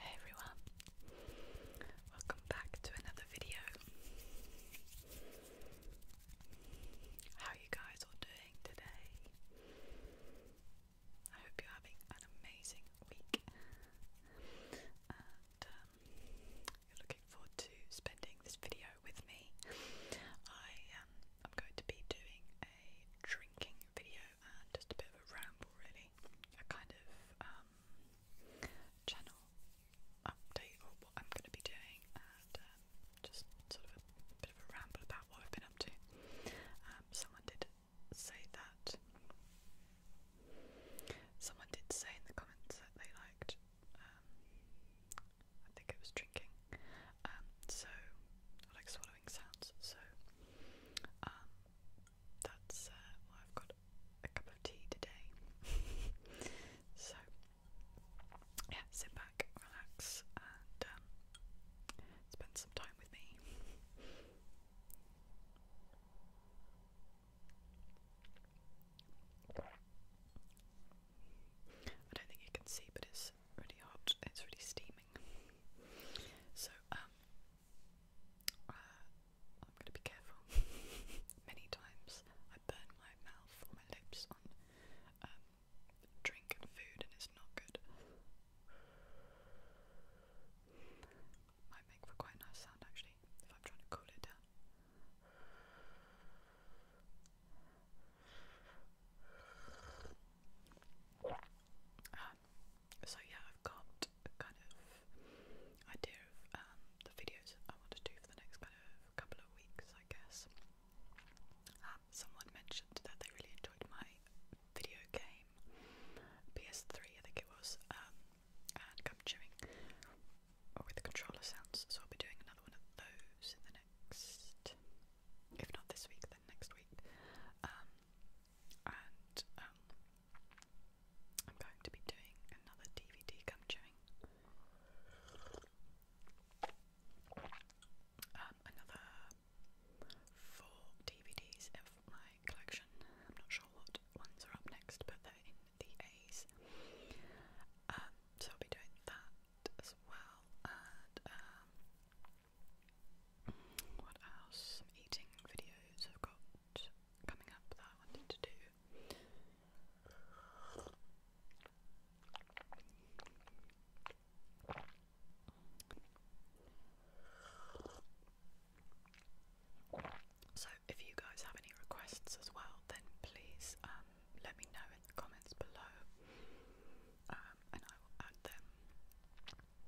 Hey everyone, welcome back to another video. How are you guys all doing today? I hope you're having an amazing week um, looking forward to spending this video with me. I um, I'm going to be doing a drinking video and just a bit of a ramble, really, a kind of um, channel update or what I'm going to be doing, and um, just sort of a bit of a ramble about what I've been up to. Um, someone did say that. Someone did say in the comments that they liked um, I think it was drinking, um, so like swallowing sounds, so um, that's uh, I've got a cup of tea today, so yeah, sit back, relax, and spend some time with me. I don't think you can see, but it's really hot. It's really steaming. So um, uh, I'm going to be careful. Many times I burn my mouth or my lips on um, drink and food, and it's not good. Might make for quite a nice sound actually if I'm trying to cool it down. Um, so yeah, I've got kind of idea of um, the videos I want to do for the next kind of couple of weeks, I guess. Um, someone mentioned that they really enjoyed my video game PS3, I think it was, um, gum chewing or oh, with the controller sounds, so I'll be doing another one of those in the next, if not this week, then next week. Um, and um, I'm going to be doing another DVD gum chewing. Um, another four DVDs of my collection. I'm not sure what ones are up next, but they're in the A's. Um, so I'll be doing that as well. And um, what else? eating videos I've got coming up that I wanted to do. So, if you guys have any requests as well, then please um, let me know in the comments below, um, and I will add them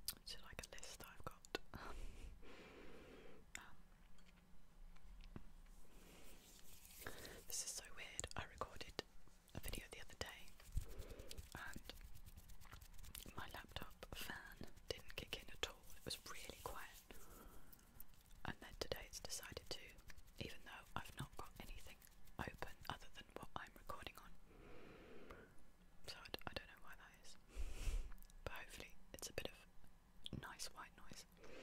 to like a list I've got. Um, this is so weird. I recorded a video the other day, and my laptop fan didn't kick in at all. It was really quiet. And then today it's decided to, even though I've not got anything open other than what I'm recording on. So I, d I don't know why that is. But hopefully it's a bit of nice white noise.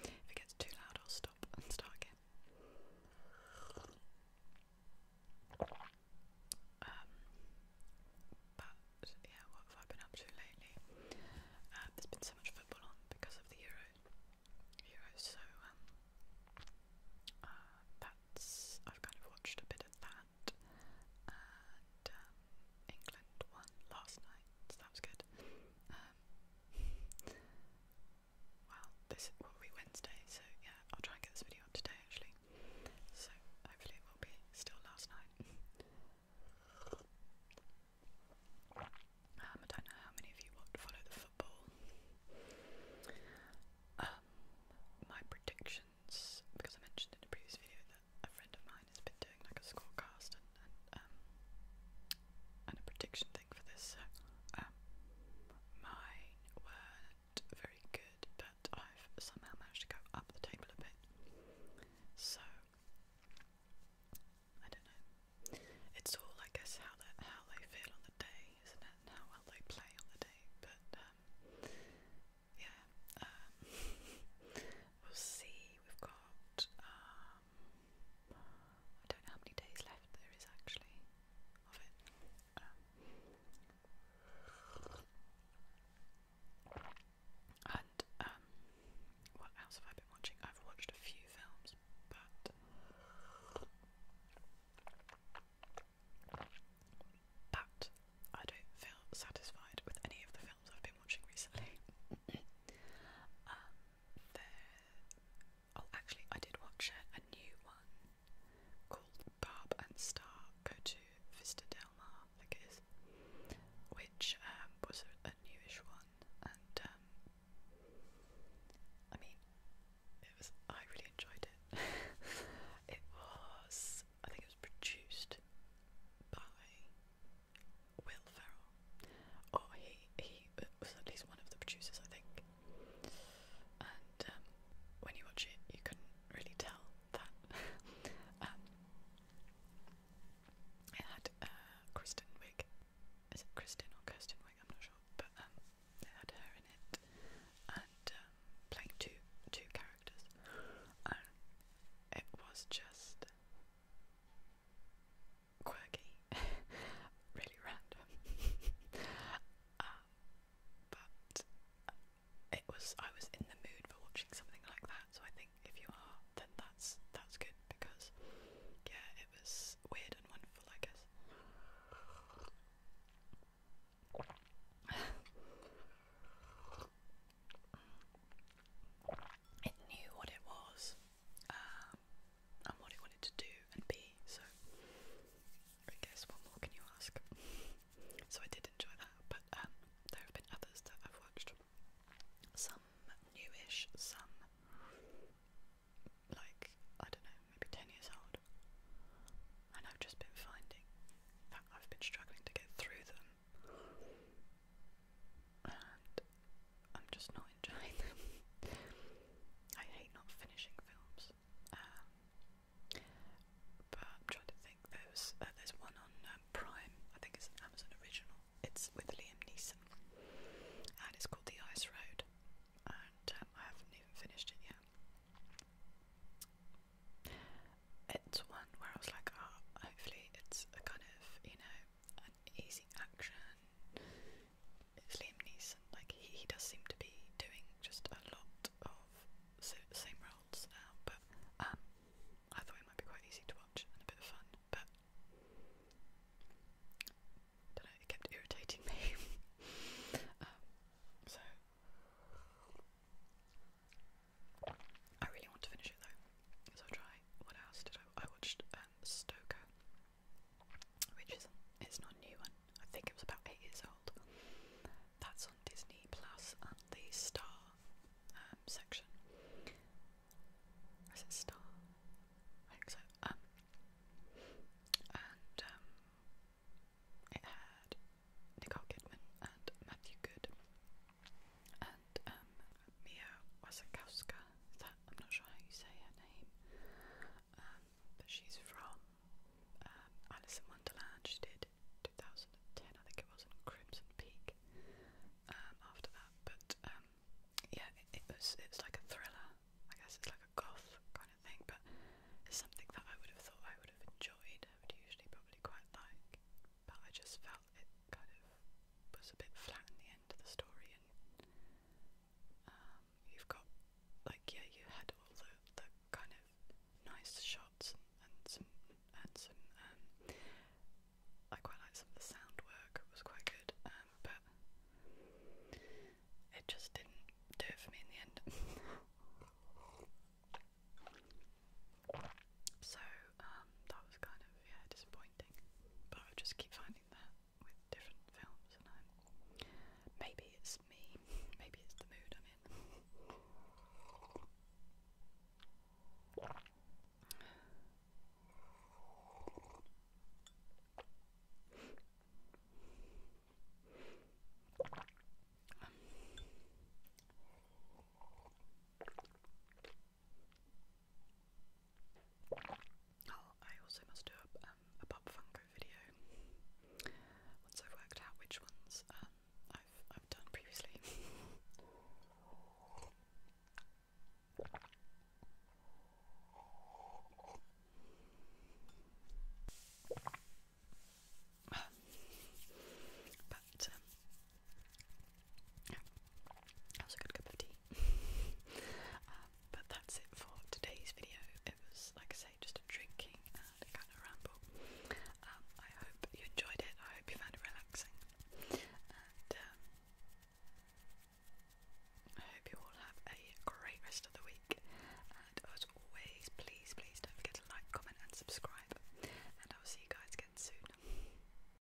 If it gets too loud, I'll stop and start again. Um, so yeah, what have I been up to lately? Um, there's been so much football on because of the Euro. Euro, so um, uh, that's I've kind of watched a bit of that, and um, England won last night, so that was good. Um, well, this will be Wednesday, so yeah, I'll try and get this video up today actually. So hopefully it will be still last night. Um, I don't know how many of you want to follow the football. Um, my predictions, because I mentioned in a previous video that a friend of mine has been doing like a scorecast and, and um, a prediction thing for this. So, weren't very but I've somehow managed to go up the table a bit. So I don't know. It's all, I guess, how they how they feel on the day, isn't it? how well they play on the day. But um, yeah, um, we'll see. We've got um, I don't know how many days left there is actually of it. And um, what else have I been watching? I've watched a few films, but I don't feel satisfied with any of the films I've been watching recently. Um, oh, actually, I did watch a new one called Barb and Star Go to Vista Del Mar, I think it is, which um, was a, a newish one, and um, I mean, it was. I really enjoyed it. it was. I think it was produced by Will Ferrell, or he he uh, was at least one of the producers, I think. And um, when you watch it, you couldn't really tell that. Um, it had uh, Kristen Wiig. Is it Kristen or Kirsten Wiig? I'm not sure, but um, had her in it, and um, playing two two characters, it was just quirky, really random. Um, but it was I was in the mood for watching something like that. So I think if you are, then that's that's good because yeah, it was weird and wonderful, I guess. it knew what it was um, and what it wanted to do and be, so I guess what more can you ask? so I did enjoy that, but um, there have been others that I've watched. Some newish, some like I don't know, maybe ten years old, and I've just been finding that I've been struggling to get through them, and I'm just not enjoying them. I hate not finishing films. Um, but trying to think. There's uh, there's one on um, Prime. I think it's an Amazon original. It's with Liam Neeson, and it's called The Ice Road. And um, I haven't even finished it yet. It's one where I was like, ah, oh, hopefully it's a kind of you know an easy action, Liam Neeson. Like he, he does seem to be doing just a lot of so, same roles now, uh, but um, I thought it might be quite easy to watch and a bit of fun, but I don't know, it kept irritating me. um, so I really want to finish it though, so I'll try. What else did I? I watched um, Stoker which is it's not new one. I think it was about eight years old. That's on Disney Plus and the Star um, section. is it Star? I think so. Um, and um, it had Nicole Kidman and Matthew Good and Mia Wasikowska. that I'm not sure how you say her name um, but she's from um, Alice in Wonderland. She did 2010, I think it was, and Crimson Peak um, after that. But um, yeah, it, it was it's like a thriller. I guess it's like a goth kind of thing, but it's something that I would have thought I would have enjoyed. I would usually probably quite like, but I just felt it kind of was a bit flat in the end of the story, and um, you've got like yeah, you had all the, the kind of nice shots and, and some and some um I quite like some of the sound work, it was quite good, um, but it just didn't do it for me in the end. so, um, that was kind of yeah, disappointing. But I would just keep finding that with different films, and I'm maybe it's me, maybe it's the mood I'm in. Oh, I also must do um, a, Pop Funko video once I've worked out which ones um, I've, done previously. but um, that was a good cup of tea. Uh, but that's it for today's video. It was, like I say, just a drinking and kind of ramble. Um, I hope you enjoyed it. I hope you found it relaxing. Um, I hope you all have a great rest of the week. And as always, please, please don't forget to like, comment, and subscribe. And I will see you guys again soon.